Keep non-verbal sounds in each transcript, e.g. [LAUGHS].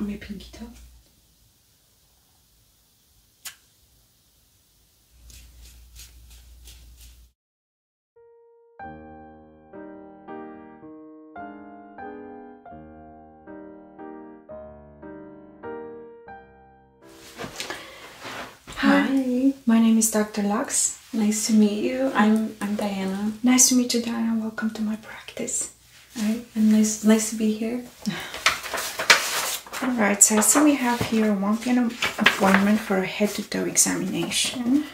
On met Pinky Top. Hi, my name is Dr. Lux. Nice to meet you. I'm I'm Diana. Nice to meet you, Diana. Welcome to my practice. All right, and nice nice to be here. All right, so I see we have here a 1 p.m. appointment for a head-to-toe examination.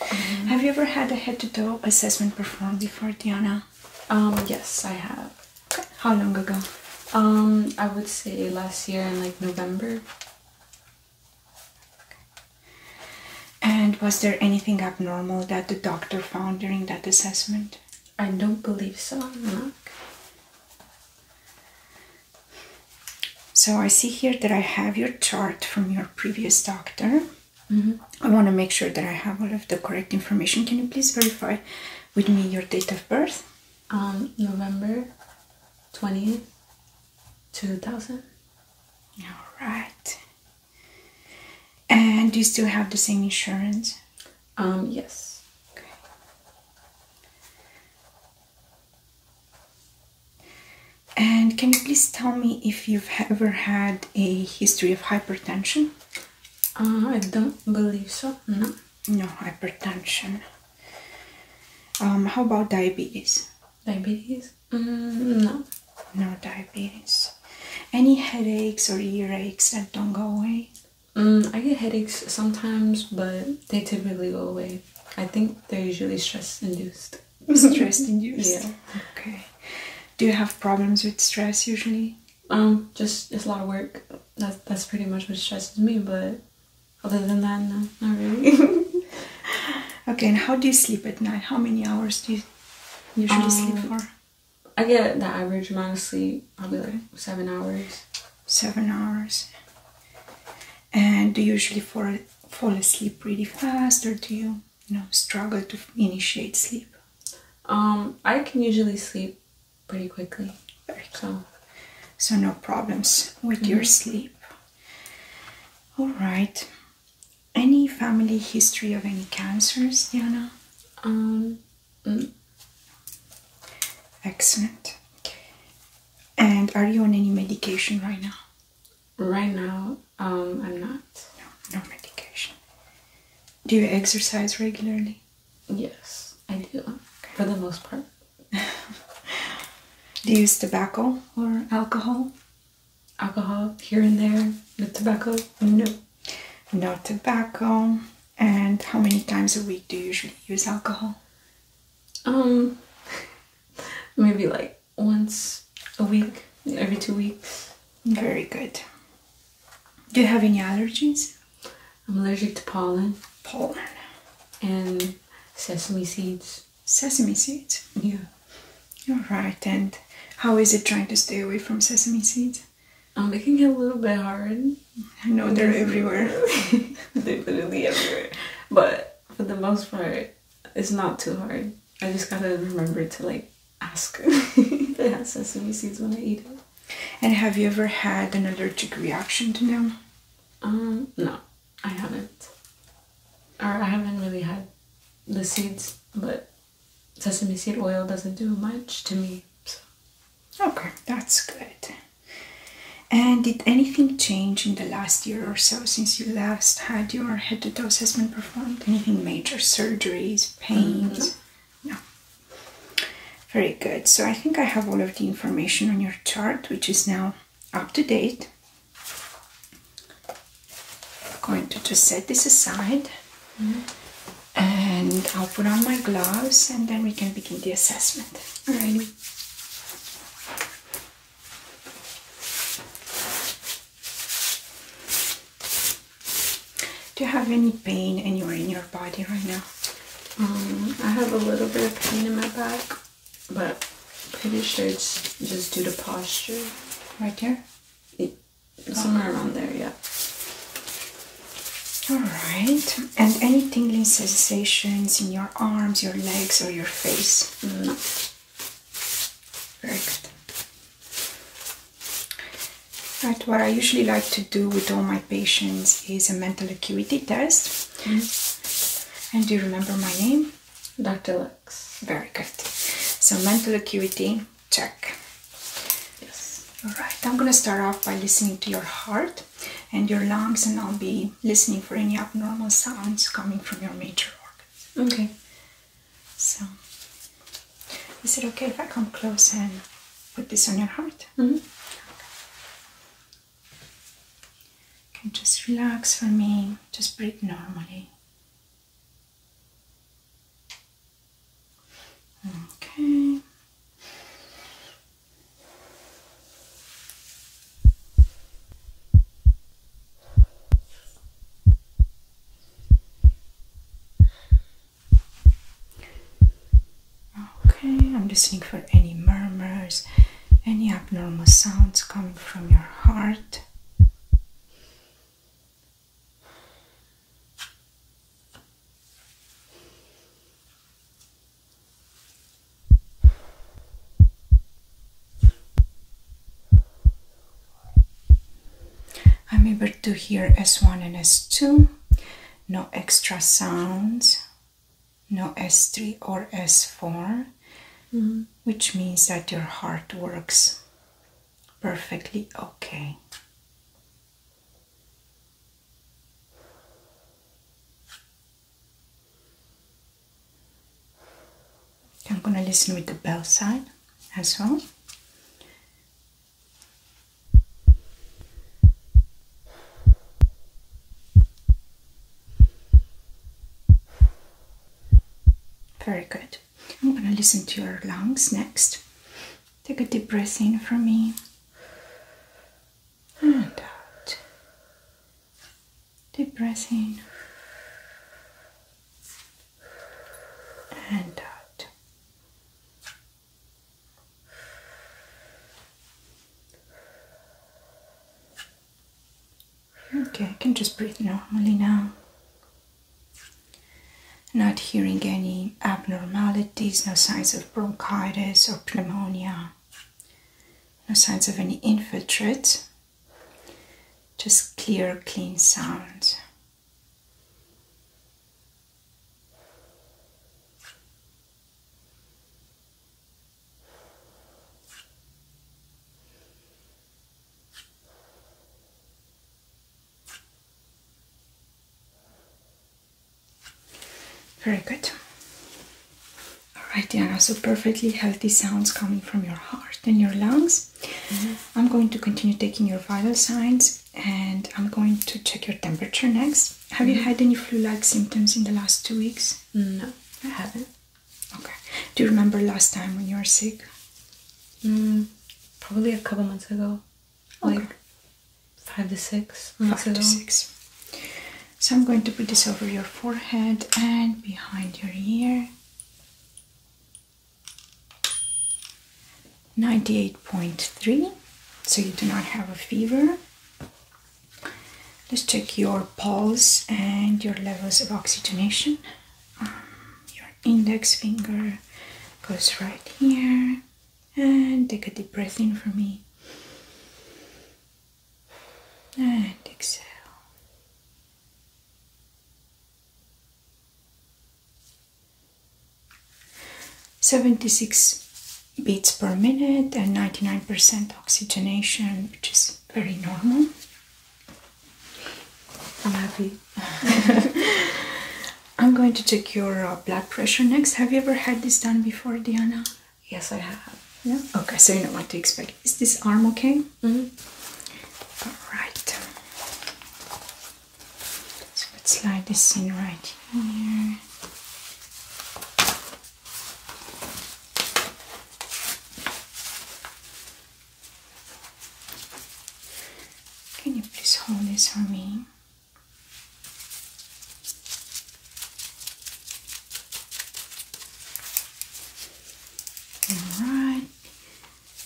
Mm-hmm. Have you ever had a head-to-toe assessment performed before, Diana? Um, yes, I have. How long ago? Um, I would say last year in like November. And was there anything abnormal that the doctor found during that assessment? I don't believe so. No. So I see here that I have your chart from your previous doctor. Mm-hmm. I want to make sure that I have all of the correct information. Can you please verify with me your date of birth? Um, November 20th, 2000 all right and do you still have the same insurance um yes okay and can you please tell me if you've ever had a history of hypertension uh, i don't believe so no no hypertension um, how about diabetes diabetes Mm, no. No diabetes. Any headaches or earaches that don't go away? Mm, I get headaches sometimes, but they typically go away. I think they're usually stress induced. [LAUGHS] stress induced? Yeah. Okay. Do you have problems with stress usually? Um, just it's a lot of work. That's that's pretty much what stresses me, but other than that, no, not really. [LAUGHS] [LAUGHS] okay, and how do you sleep at night? How many hours do you usually sleep um, for? I get the average amount of sleep, I'll be like seven hours. Seven hours. And do you usually fall, fall asleep pretty fast, or do you, struggle to initiate sleep? Um, I can usually sleep pretty quickly. Very calm. So, no problems with your mm-hmm. sleep. All right. Any family history of any cancers, Diana? Um. Mm. Excellent. And are you on any medication right now? Right now, um, I'm not. No, medication. Do you exercise regularly? Yes, I do. For the most part. [LAUGHS] Do you use tobacco or alcohol? Alcohol here and there with tobacco? No. No tobacco. And how many times a week do you usually use alcohol? Um, [LAUGHS] maybe like once a week, every two weeks. Very good. Do you have any allergies? I'm allergic to pollen. Pollen. And sesame seeds. Sesame seeds? Yeah. All right, and how is it trying to stay away from sesame seeds? I'm um, making it a little bit hard. I know they're everywhere. [LAUGHS] they're literally everywhere. But for the most part, it's not too hard. I just gotta remember to like ask [LAUGHS] if they have sesame seeds when I eat it. And have you ever had an allergic reaction to them? Um, no. I haven't. Or I haven't really had the seeds, but sesame seed oil doesn't do much to me. Okay, that's good. And did anything change in the last year or so since you last had your head to toe assessment performed? Anything major? Surgeries, pains? Mm No. Very good. So I think I have all of the information on your chart, which is now up to date. I'm going to just set this aside mm-hmm. and I'll put on my gloves and then we can begin the assessment. All right. Do you have any pain anywhere in your body right now? Um, I have a little bit of pain in my back but pretty sure it's just due to posture. Right there? somewhere around there, yeah. Alright, and any tingling sensations in your arms, your legs, or your face? No. Very good. Right, what I usually like to do with all my patients is a mental acuity test. Mm-hmm. And do you remember my name? Dr. Lux. Very good. So mental acuity, check. Yes. Alright, I'm gonna start off by listening to your heart and your lungs and I'll be listening for any abnormal sounds coming from your major organs. Okay. So is it okay if I come close and put this on your heart? -hmm. And just relax for me, just breathe normally. Okay. Okay, I'm listening for any murmurs any abnormal sounds coming from your heart. I'm able to hear S1 and S2, no extra sounds no S3 or S4, mm-hmm. which means that your heart works perfectly okay. I'm going to listen with the bell side as well. Very good. I'm going to listen to your lungs next. Take a deep breath in for me and out. Deep breath in and out. Okay, I can just breathe normally now. Not hearing any abnormalities, no signs of bronchitis or pneumonia, no signs of any infiltrate, just clear, clean sound. Very good. Alright, Diana, so perfectly healthy sounds coming from your heart and your lungs. Mm-hmm. I'm going to continue taking your vital signs and I'm going to check your temperature next. Have you mm-hmm. had any flu like symptoms in the last two weeks? Mm, no, I haven't. Okay. Do you remember last time when you were sick? Mm, probably a couple months ago. Okay. Like five to six five to six. So I'm going to put this over your forehead and behind your ear. 98.3. So you do not have a fever. Let's check your pulse and your levels of oxygenation. Um, your index finger goes right here. And take a deep breath in for me. And exhale. Seventy-six beats per minute and ninety-nine percent oxygenation, which is very normal. I'm happy. [LAUGHS] I'm going to check your uh, blood pressure next. Have you ever had this done before, Diana? Yes, I have. Yeah. Okay, so you know what to expect. Is this arm okay? Mm mm-hmm. All right. So let's slide this in right here. Can you please hold this for me? Alright,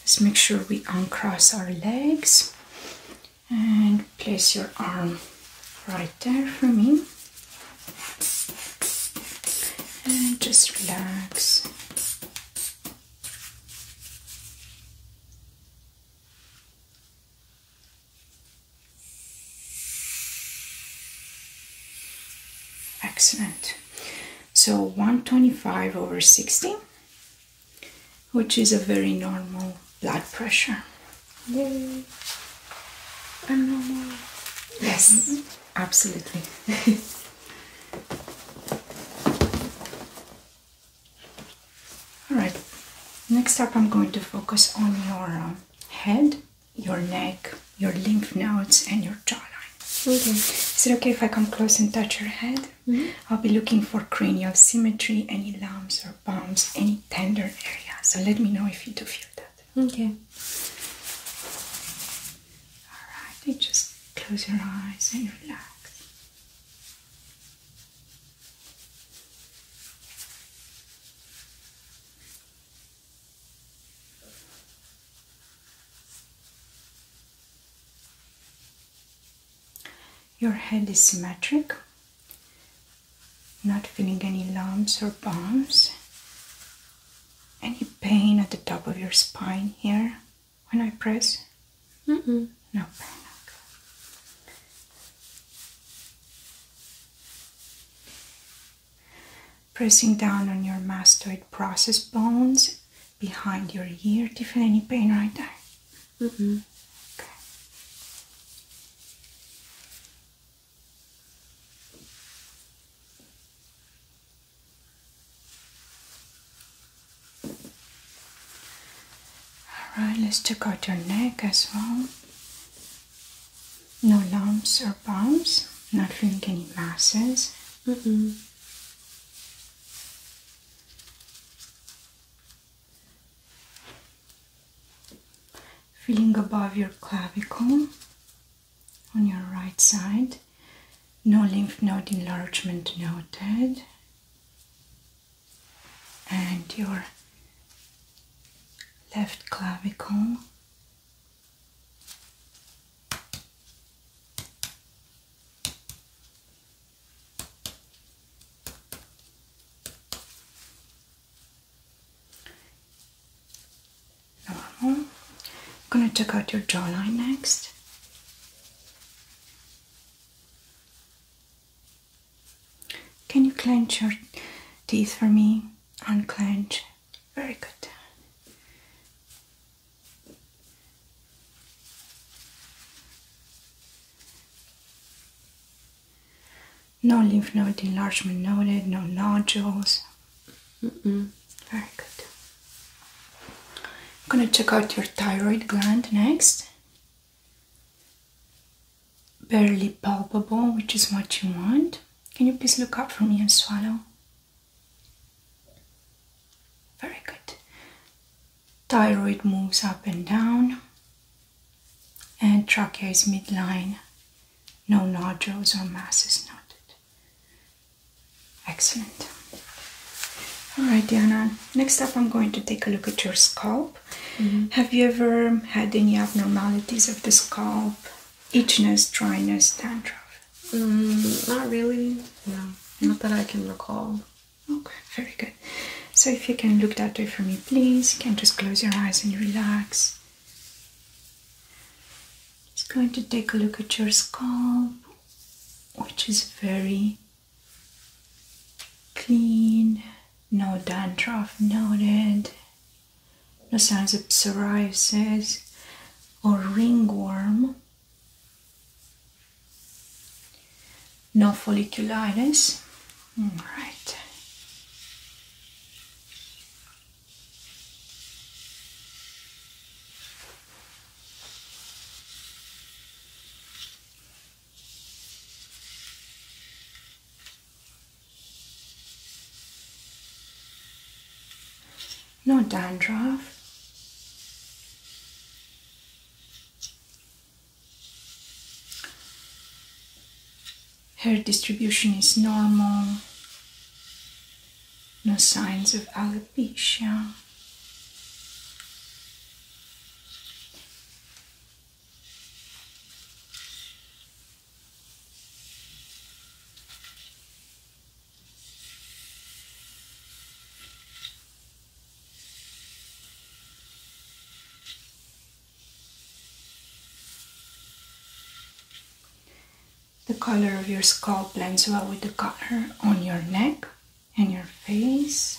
let's make sure we uncross our legs and place your arm right lighter for me. And just relax. Excellent. So 125 over 60, which is a very normal blood pressure. Yay. I'm normal. Yes. Mm-hmm. Absolutely. [LAUGHS] Alright, next up I'm going to focus on your um, head, your neck, your lymph nodes, and your jawline. Okay. Is it okay if I come close and touch your head? -hmm. I'll be looking for cranial symmetry, any lumps or bumps, any tender area. So let me know if you do feel that. Okay. Alright, just close your eyes and relax. Your head is symmetric, not feeling any lumps or bumps. Any pain at the top of your spine here when I press? No pain. Okay. Pressing down on your mastoid process bones behind your ear. Do you feel any pain right there? Okay. Alright, let's check out your neck as well. No lumps or bumps, not feeling any masses. Mm-hmm. Feeling above your clavicle, on your right side. No lymph node enlargement noted. And your left clavicle. Normal. I'm gonna check out your jawline next. Can you clench your teeth for me? Unclench. Very good. No lymph node enlargement noted, no nodules. Very good. I'm gonna check out your thyroid gland next. Barely palpable, which is what you want. Can you please look up for me and swallow? Very good. Thyroid moves up and down, and trachea is midline. No nodules or masses noted. Excellent. Alright, Diana. Next up, I'm going to take a look at your scalp. Mm-hmm. Have you ever had any abnormalities of the scalp? Itchiness, dryness, dandruff? Mm, not really. No, mm. not that I can recall. Okay, very good. So, if you can look that way for me, please, you can just close your eyes and relax. Just going to take a look at your scalp, which is very clean, no dandruff noted, no signs of psoriasis or ringworm, no folliculitis. All right. No dandruff. Her distribution is normal, no signs of alopecia. The color of your scalp blends well with the color on your neck and your face.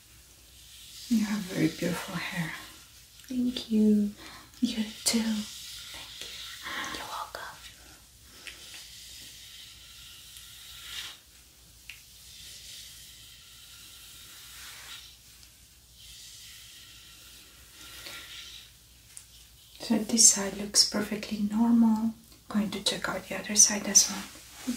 You have very beautiful hair. Thank you. You too. Thank you. You're welcome. So this side looks perfectly normal. going to check out the other side as well.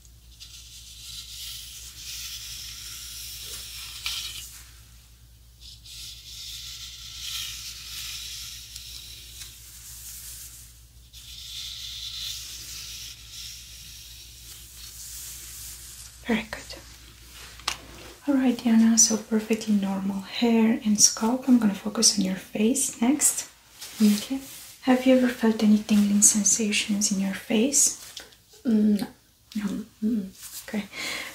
Very good. Alright Diana, so perfectly normal hair and scalp. I'm gonna focus on your face next. Okay. Have you ever felt any tingling sensations in your face? Mm, no. Mm, okay.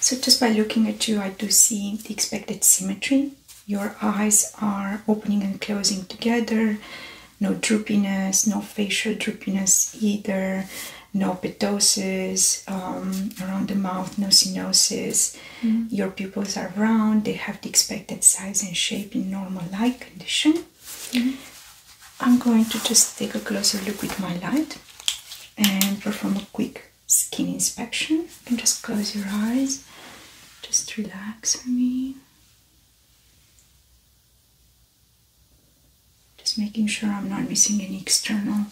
So just by looking at you, I do see the expected symmetry. Your eyes are opening and closing together. No droopiness, no facial droopiness either. No ptosis um, around the mouth, no cyanosis. Mm. Your pupils are round. They have the expected size and shape in normal light condition. Mm-hmm. I'm going to just take a closer look with my light and perform a quick skin inspection. You just close your eyes, just relax for me. Just making sure I'm not missing any external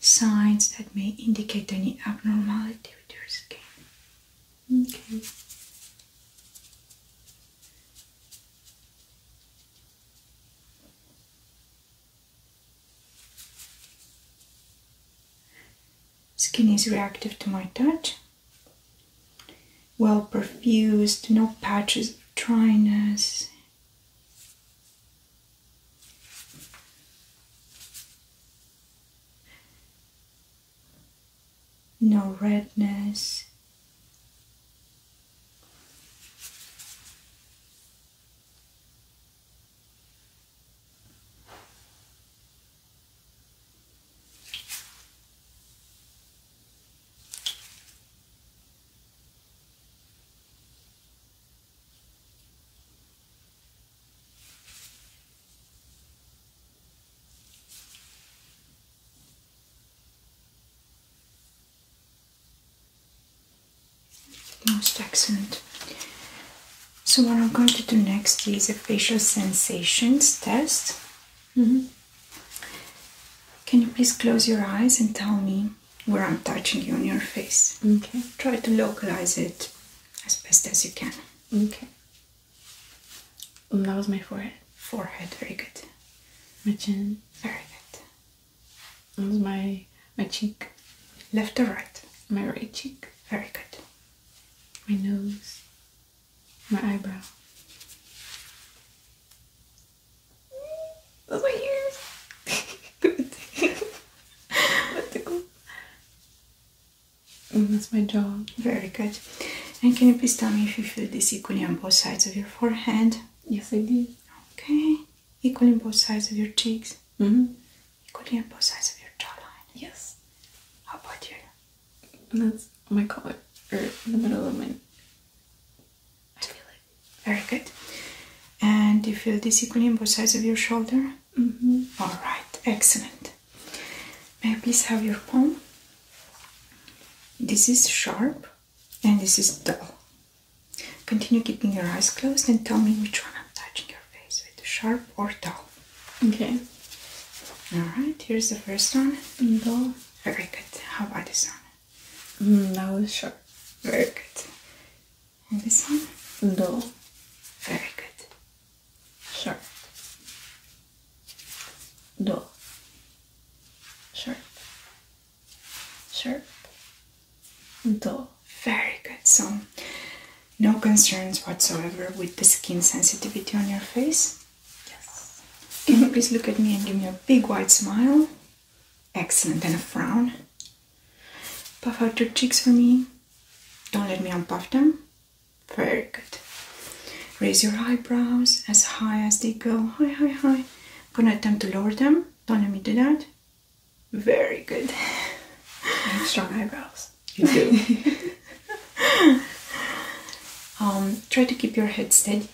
signs that may indicate any abnormality with your skin. Okay. Skin is reactive to my touch, well perfused, no patches of dryness no redness. Most excellent. So what I'm going to do next is a facial sensations test. Mm-hmm. Can you please close your eyes and tell me where I'm touching you on your face? Okay. Try to localize it as best as you can. Okay that was my forehead. Forehead, very good. My chin, very good. That was my my cheek, left or right. My right cheek, very good. My nose, my eyebrow. Those my ears. That's that's my jaw. Very good. And can you please tell me if you feel this equally on both sides of your forehead? Yes, I do. Okay. Equally on both sides of your cheeks? hmm. Equally on both sides of your jawline? Yes. How about you? That's my collar, or in the middle of my. I feel it. Very good. And you feel this equally on both sides of your shoulder? hmm. Alright, excellent. May I please have your palm? This is sharp and this is dull. Continue keeping your eyes closed and tell me which one I'm touching your face with sharp or dull. Okay. Alright, here's the first one. Dull. Very good. How about this one? Mm, that was sharp. Very good. And this one? Dull. Very good. Sharp do Sure. Sure. do very good so no concerns whatsoever with the skin sensitivity on your face yes can you please look at me and give me a big wide smile excellent and a frown puff out your cheeks for me don't let me unpuff them very good. Raise your eyebrows as high as they go. High, high, high. I'm gonna attempt to lower them. Don't let me do that. Very good. strong eyebrows. You do. [LAUGHS] um, try to keep your head steady.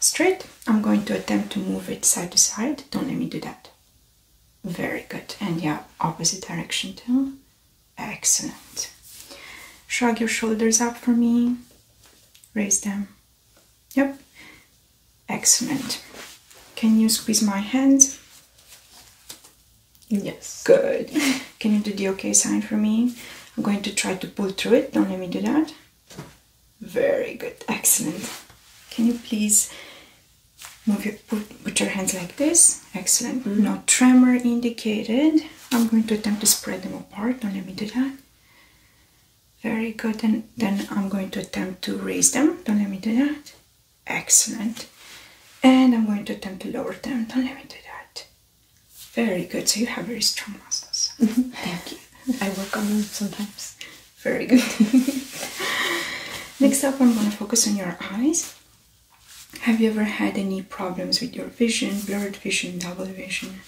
Straight. I'm going to attempt to move it side to side. Don't let me do that. Very good. And yeah, opposite direction too. Excellent. Shrug your shoulders up for me. Raise them. Yep. Excellent. Can you squeeze my hands? Yes. Good. [LAUGHS] Can you do the okay sign for me? I'm going to try to pull through it. Don't let me do that. Very good. Excellent. Can you please move your put, your hands like this? Excellent. Mm-hmm. No tremor indicated. I'm going to attempt to spread them middle part. Now let me do that. Very good. And then I'm going to attempt to raise them. Don't let me do that. Excellent. And I'm going to attempt to lower them. Don't let me do that. Very good. So you have very strong muscles. [LAUGHS] Thank you. I work on them sometimes. Very good. [LAUGHS] Next up, I'm going to focus on your eyes. Have you ever had any problems with your vision, blurred vision, double vision,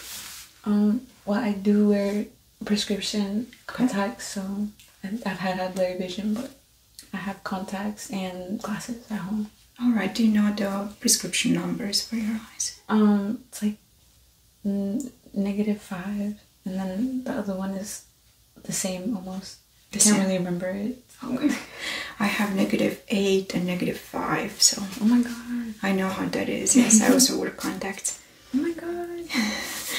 um, well, I do wear prescription contacts, so I've had other vision, but I have contacts and glasses at home. All right. Do you know the prescription numbers for your eyes? Um, it's like negative five, and then the other one is the same almost. I can't really remember it. I have negative negative 8 and negative 5. So, oh my god, I know how that is. Yes, I also wear contacts. [LAUGHS] Oh my god.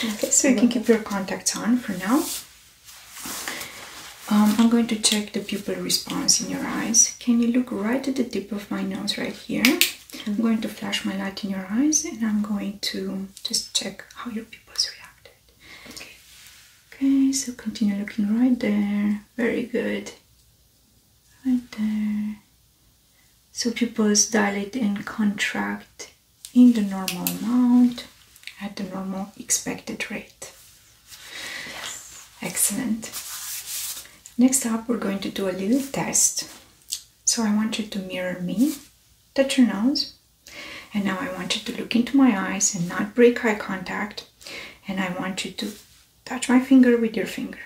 okay, [LAUGHS] so you can keep your contacts on for now. Um, I'm going to check the pupil response in your eyes. Can you look right at the tip of my nose right here? I'm mm-hmm. going to flash my light in your eyes and I'm going to just check how your pupils reacted. Okay, okay so continue looking right there. Very good right there so pupils dilate and contract in the normal amount at the normal expected rate excellent next up we're going to do a little test so i want you to mirror me touch your nose and now i want you to look into my eyes and not break eye contact and i want you to Touch my finger with your finger.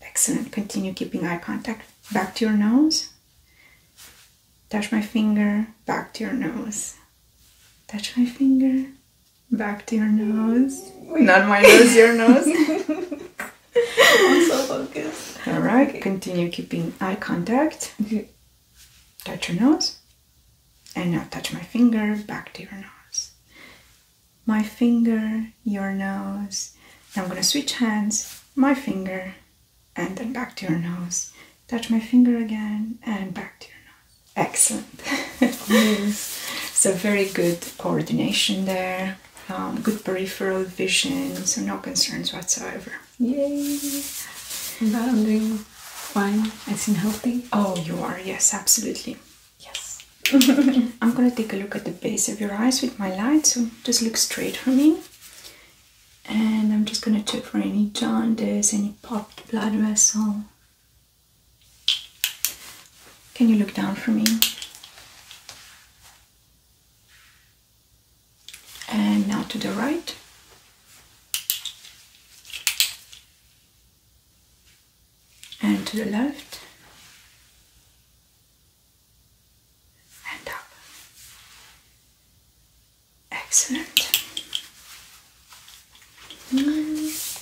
Excellent. Continue keeping eye contact. Back to your nose. Touch my finger. Back to your nose. Touch my finger. Back to your nose. Not my nose, your nose. [LAUGHS] I'm All right. Continue keeping eye contact. Touch your nose. And now touch my finger. Back to your nose my finger, your nose. Now I'm going to switch hands, my finger, and then back to your nose. Touch my finger again and back to your nose. Excellent. yes. [LAUGHS] So, very good coordination there. Um, good peripheral vision, so no concerns whatsoever. Yay! But I'm doing fine. I seem healthy. Oh, you are, yes, absolutely. Yes. [LAUGHS] I'm gonna take a look at the base of your eyes with my light, so just look straight for me. And I'm just gonna check for any jaundice, any popped blood vessel. Can you look down for me? And now to the right and to the left and up. Excellent.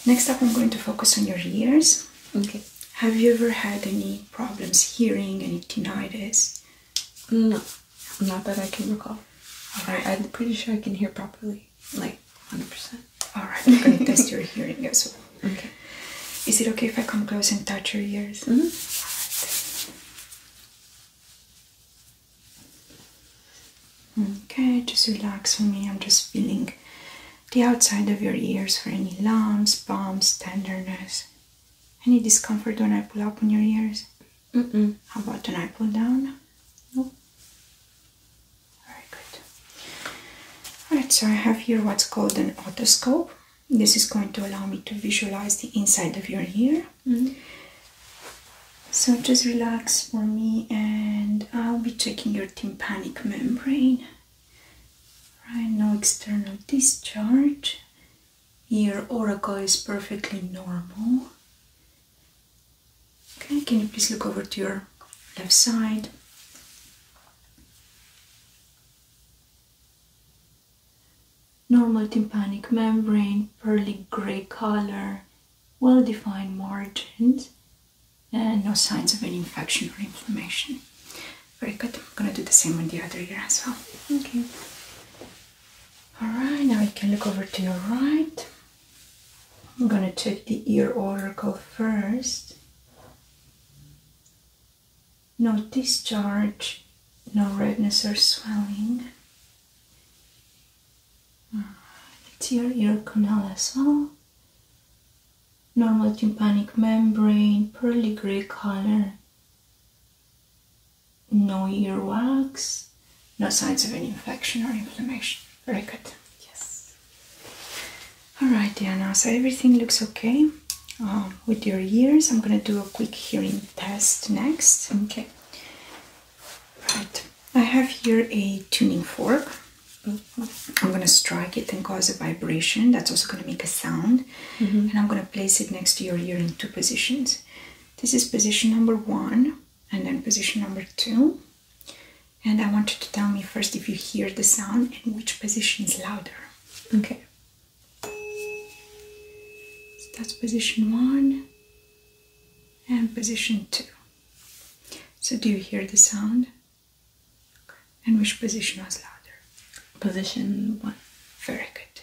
Next up, I'm going to focus on your ears. Okay. Have you ever had any problems hearing, any tinnitus? No, not that I can recall. Right. I, am pretty sure I can hear properly. Like 100%. Alright, I'm gonna test your hearing as well. Okay. Is it okay if I come close and touch your ears? Mm-hmm. Okay, just relax for me. I'm just feeling the outside of your ears for any lumps, bumps, tenderness. Any discomfort when I pull up on your ears? How about when I pull down? Nope. Very good. Alright, so I have here what's called an otoscope. This is going to allow me to visualize the inside of your ear. Mm-hmm. So just relax for me, and I'll be checking your tympanic membrane. Right, no external discharge. Your auricle is perfectly normal. Okay, can you please look over to your left side? Normal tympanic membrane, pearly gray color, well-defined margins, and no signs of any infection or inflammation. Very good. I'm gonna do the same on the other ear as well. Okay. Alright, now I can look over to your right. I'm going to check the ear oracle first. No discharge, no redness or swelling. It's your ear canal as well. Normal tympanic membrane, pearly gray color. No earwax, no signs of any infection or inflammation. Very good. Yes. Alright, dear, now so everything looks okay uh, with your ears. I'm gonna do a quick hearing test next. Okay. Right, I have here a tuning fork. I'm gonna strike it and cause a vibration. That's also gonna make a sound. Mm-hmm. And I'm gonna place it next to your ear in two positions. This is position number one, and then position number two and I want you to tell me first if you hear the sound and which position is louder. Okay. that's position one and position two. So do you hear the sound? And which position was louder? Position one. Very good.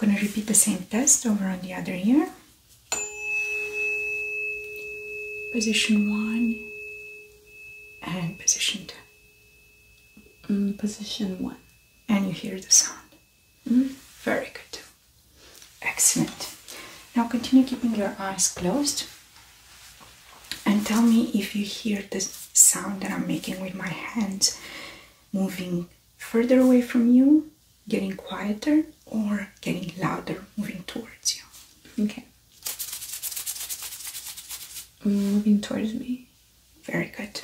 I'm gonna repeat the same test over on the other ear position one and position two. Mm, position one. And you hear the sound. Mm-hmm. Very good. Excellent. Now continue keeping your eyes closed and tell me if you hear the sound that I'm making with my hands moving further away from you, getting quieter, or getting louder, moving towards you. Okay. Moving towards me. Very good.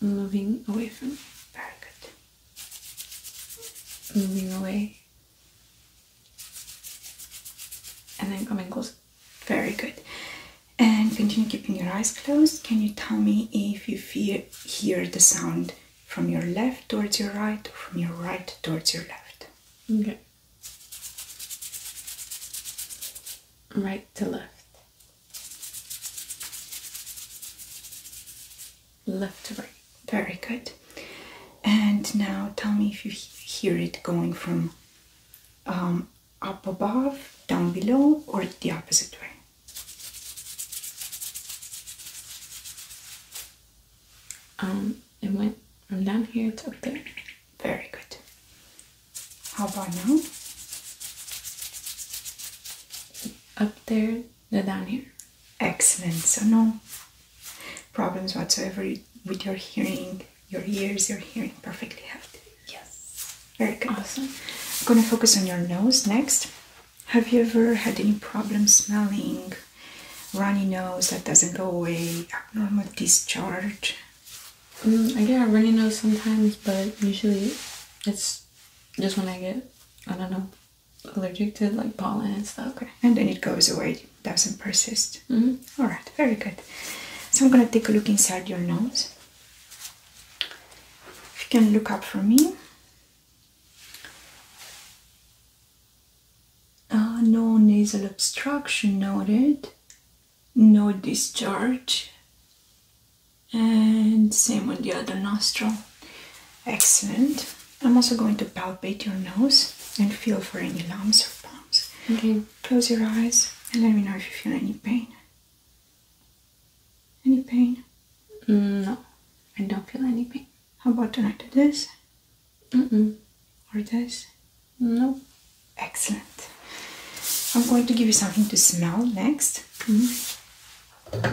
Moving away from Very good. Moving away. And then coming close. Very good. And continue keeping your eyes closed. Can you tell me if you feel, hear the sound from your left towards your right or from your right towards your left. Okay. Right to left. Left to right. Very good. And now tell me if you hear it going from um, up above, down below, or the opposite way. Um, it went I'm down here It's up there. Very good. How about now? Up there, the down here. Excellent. So no problems whatsoever with your hearing. Your ears, your hearing perfectly healthy. Yes. Very good. Awesome. I'm gonna focus on your nose next. Have you ever had any problem smelling? Runny nose that doesn't go away, abnormal discharge. Mm, I get a runny nose sometimes, but usually it's just when I get, I don't know, allergic to like pollen and stuff. And then it goes away, doesn't persist. Mm-hmm. All right, very good. So I'm gonna take a look inside your nose. If you can look up for me. Ah, no nasal obstruction noted, no discharge, and same on the other nostril. Excellent. I'm also going to palpate your nose and feel for any lumps or bumps. Okay. Close your eyes and let me know if you feel any pain. Any pain? Mm, no, I don't feel any pain. How about tonight? This? Mm -mm. Or this? No. Excellent. I'm going to give you something to smell next. Mm-hmm.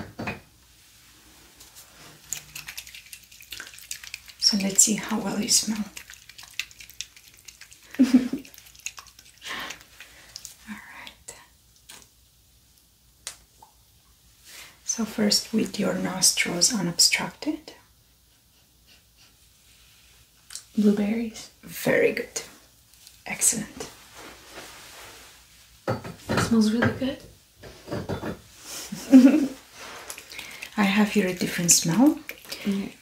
So let's see how well you smell. [LAUGHS] All right. So, first with your nostrils unobstructed. Blueberries. Very good. Excellent. smells really good. [LAUGHS] I have here a different smell.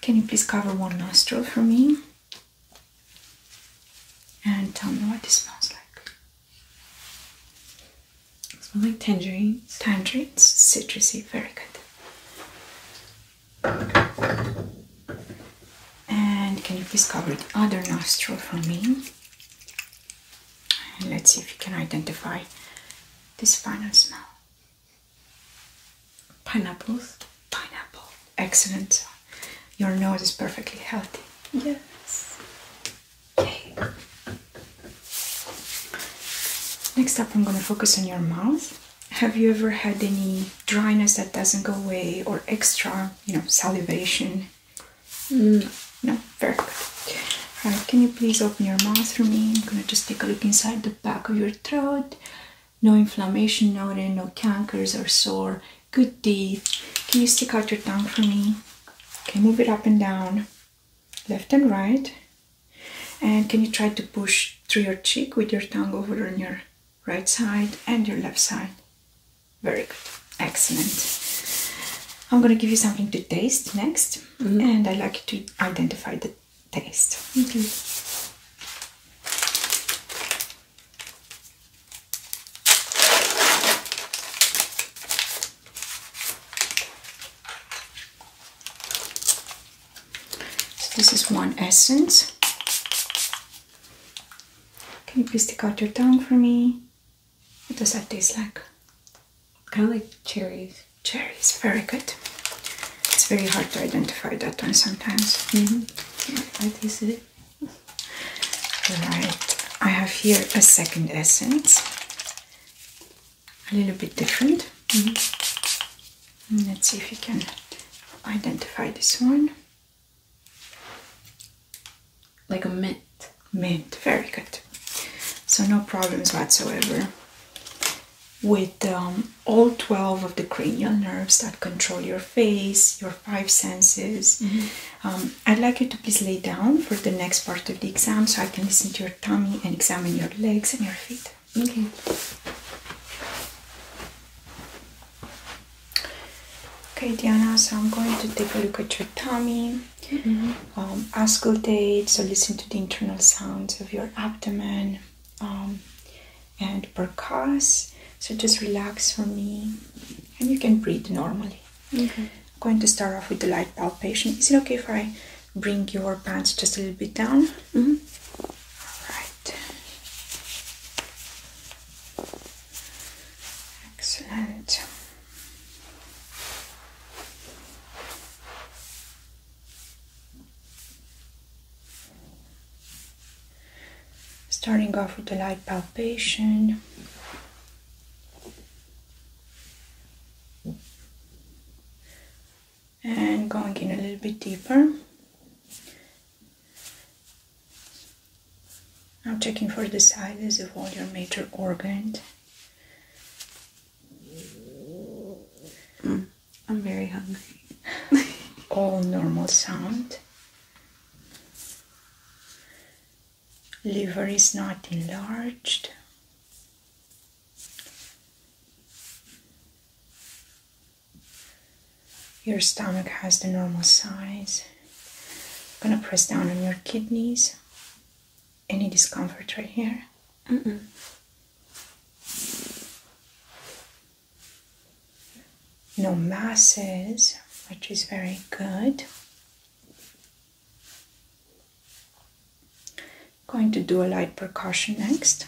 Can you please cover one nostril for me? And tell me what this smells like. Smelling like tangerines. Tangerines, citrusy, very good. And can you please cover the other nostril for me? And let's see if you can identify this final smell. Pineapples. Pineapple. Excellent. Your nose is perfectly healthy. Yes. Okay. Next up, I'm going to focus on your mouth. Have you ever had any dryness that doesn't go away or extra, you know, salivation? Mm. No, very Alright, can you please open your mouth for me? I'm gonna just take a look inside the back of your throat. No inflammation noted, no cankers or sore Good deed. Can you stick out your tongue for me? Okay, move it up and down, left and right. And can you try to push through your cheek with your tongue over on your right side and your left side? Very good. Excellent. I'm gonna give you something to taste next, mm-hmm. and I'd like you to identify the taste. Okay. So this is one essence. Can you please take out your tongue for me? What does that taste like? Kind of like cherries. Cherries, very good. It's very hard to identify that one sometimes. Mm-hmm. I tasted it. Alright, I have here a second essence, a little bit different. Mm-hmm. Let's see if you can identify this one. Like a mint. Mint, very good. So no problems whatsoever with um, all 12 of the cranial nerves that control your face, your five senses, mm-hmm. Um, I'd like you to please lay down for the next part of the exam so I can listen to your tummy and examine your legs and your feet. Okay. Okay, Diana, so I'm going to take a look at your tummy, mm-hmm. um, auscultate, so listen to the internal sounds of your abdomen um, and percuss. So just relax for me and you can breathe normally. I'm going to start off with the light palpation. Is it okay if I bring your pants just a little bit down? Mm-hmm. All right. Excellent. Starting off with the light palpation, and going in a little bit deeper I'm checking for the sizes of all your major organs mm, I'm very hungry [LAUGHS] all normal sound liver is not enlarged. Your stomach has the normal size. I'm gonna press down on your kidneys. Any discomfort right here? No masses, which is very good. Going to do a light percussion next.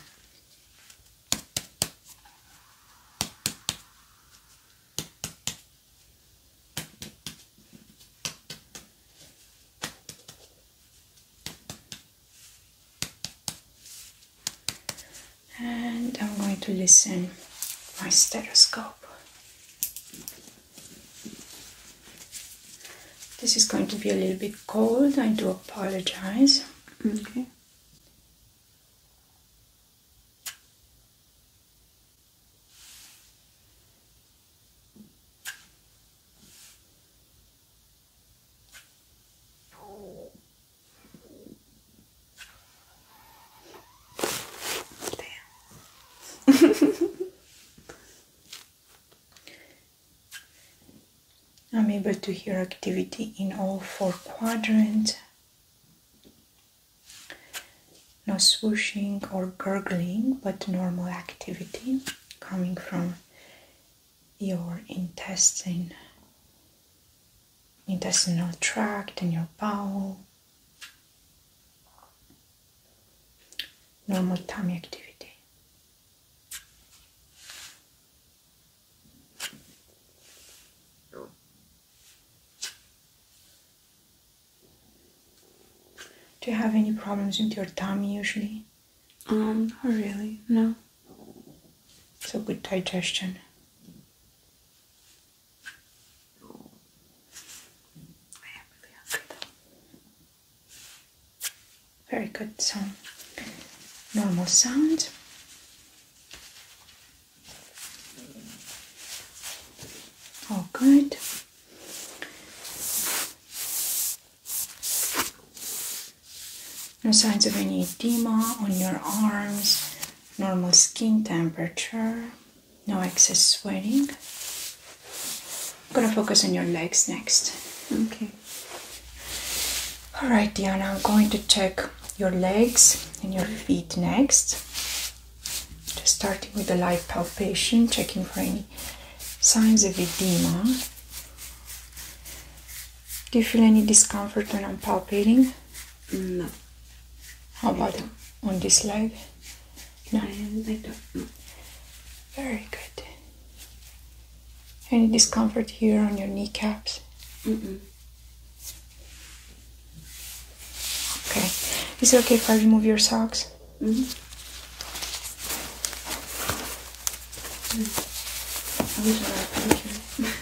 And I'm going to listen my stethoscope. This is going to be a little bit cold, I do apologize. Okay. [LAUGHS] I'm able to hear activity in all four quadrants. No swooshing or gurgling, but normal activity coming from your intestine, intestinal tract and your bowel normal tummy activity. Do you have any problems with your tummy usually? Um, really, no. So good digestion. Very good, so normal sound. All good. No signs of any edema on your arms, normal skin temperature no excess sweating. I'm gonna focus on your legs next. Okay. All right, Diana, I'm going to check your legs and your feet next. Just starting with a light palpation, checking for any signs of edema. Do you feel any discomfort when I'm palpating? No. How about on this leg? No. I, I don't Very good. Any discomfort here on your kneecaps? Mm -mm. Okay. Is it okay if I remove your socks? Mm-hmm. Mm -hmm.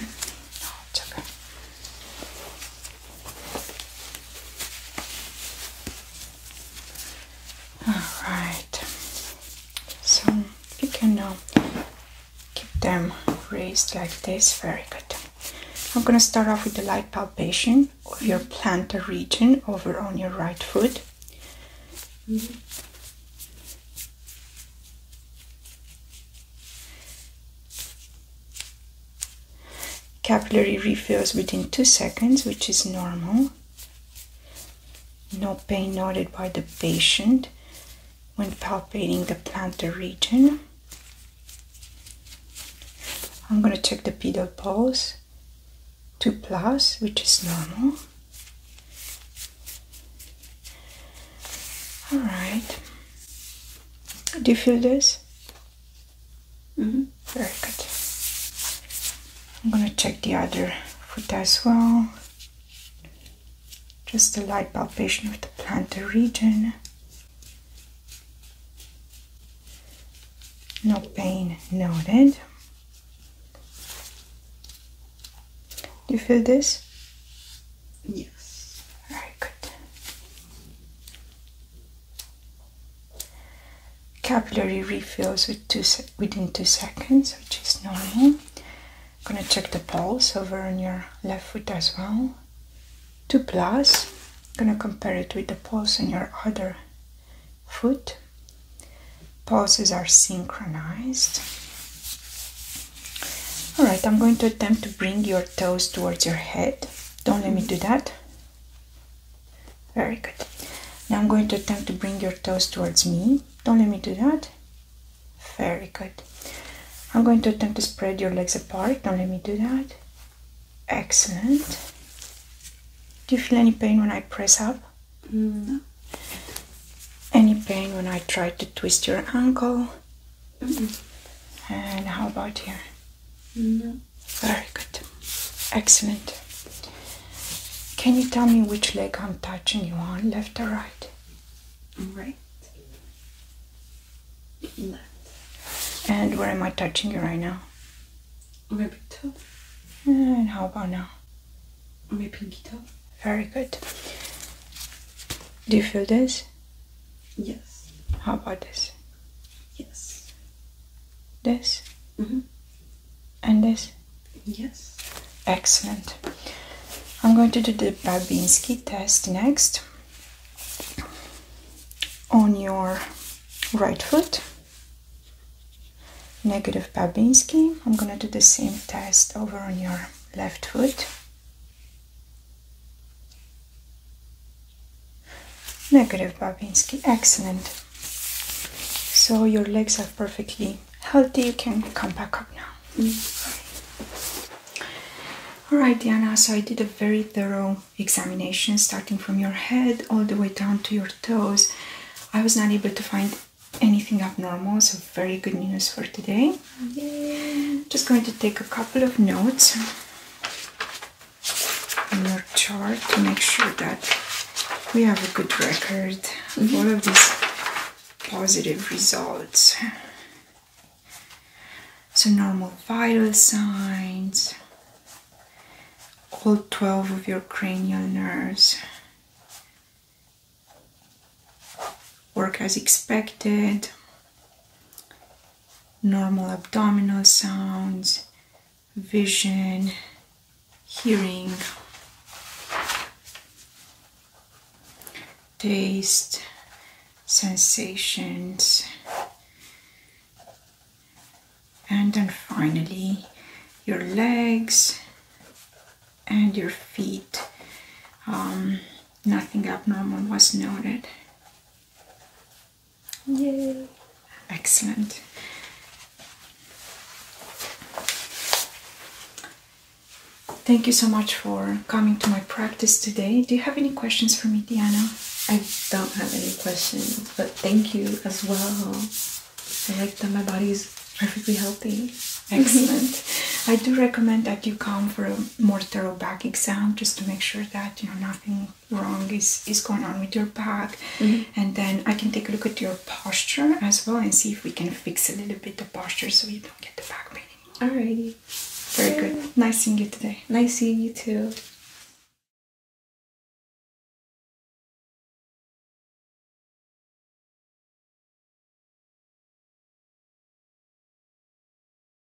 Alright, so you can now keep them raised like this. Very good. I'm gonna start off with the light palpation of your plantar region over on your right foot. Capillary refills within 2 seconds, which is normal. No pain noted by the patient when palpating the plantar region. I'm going to check the pedal pulse 2 plus, which is normal. Alright, do you feel this? Mm-hmm. Very good. I'm gonna check the other foot as well. Just a light palpation of the plantar region. No pain noted. Do you feel this? Yes. Very good. Capillary refills within two seconds, which is normal. I'm gonna check the pulse over on your left foot as well. Two plus. I'm gonna compare it with the pulse on your other foot. Pulses are synchronized. Alright, I'm going to attempt to bring your toes towards your head don't let me do that very good now I'm going to attempt to bring your toes towards me don't let me do that very good I'm going to attempt to spread your legs apart don't let me do that excellent do you feel any pain when I press up mm, no any pain when I try to twist your ankle Mm-hmm. And how about here? Very good. Excellent. Can you tell me which leg I'm touching you on, left or right? Right. Left. And where am I touching you right now? Maybe toe. And how about now? My pinky toe. Very good. Do you feel this? Yes. How about this? Yes. This? Mm -hmm. And this? Yes. Excellent. I'm going to do the Babinski test next on your right foot. Negative Babinski. I'm going to do the same test over on your left foot. Negative, Babinski. Excellent. So your legs are perfectly healthy. You can come back up now. Mm. All right, Diana. So I did a very thorough examination, starting from your head all the way down to your toes. I was not able to find anything abnormal, so very good news for today. Just going to take a couple of notes in your chart to make sure that we have a good record of all of these positive results. So normal vital signs, all 12 of your cranial nerves work as expected normal abdominal sounds, vision, hearing, taste, sensations, and then finally your legs and your feet. Um, nothing abnormal was noted. Yay! Excellent. Thank you so much for coming to my practice today. Do you have any questions for me, Diana? I don't have any questions, but thank you as well. I like that my body is perfectly healthy. Excellent. I do recommend that you come for more thorough back exam just to make sure that you know nothing wrong is is going on with your back mm-hmm. and then i can take a look at your posture as well and see if we can fix a little bit the posture so you don't get the back pain anymore. alrighty very good nice seeing you today nice seeing you too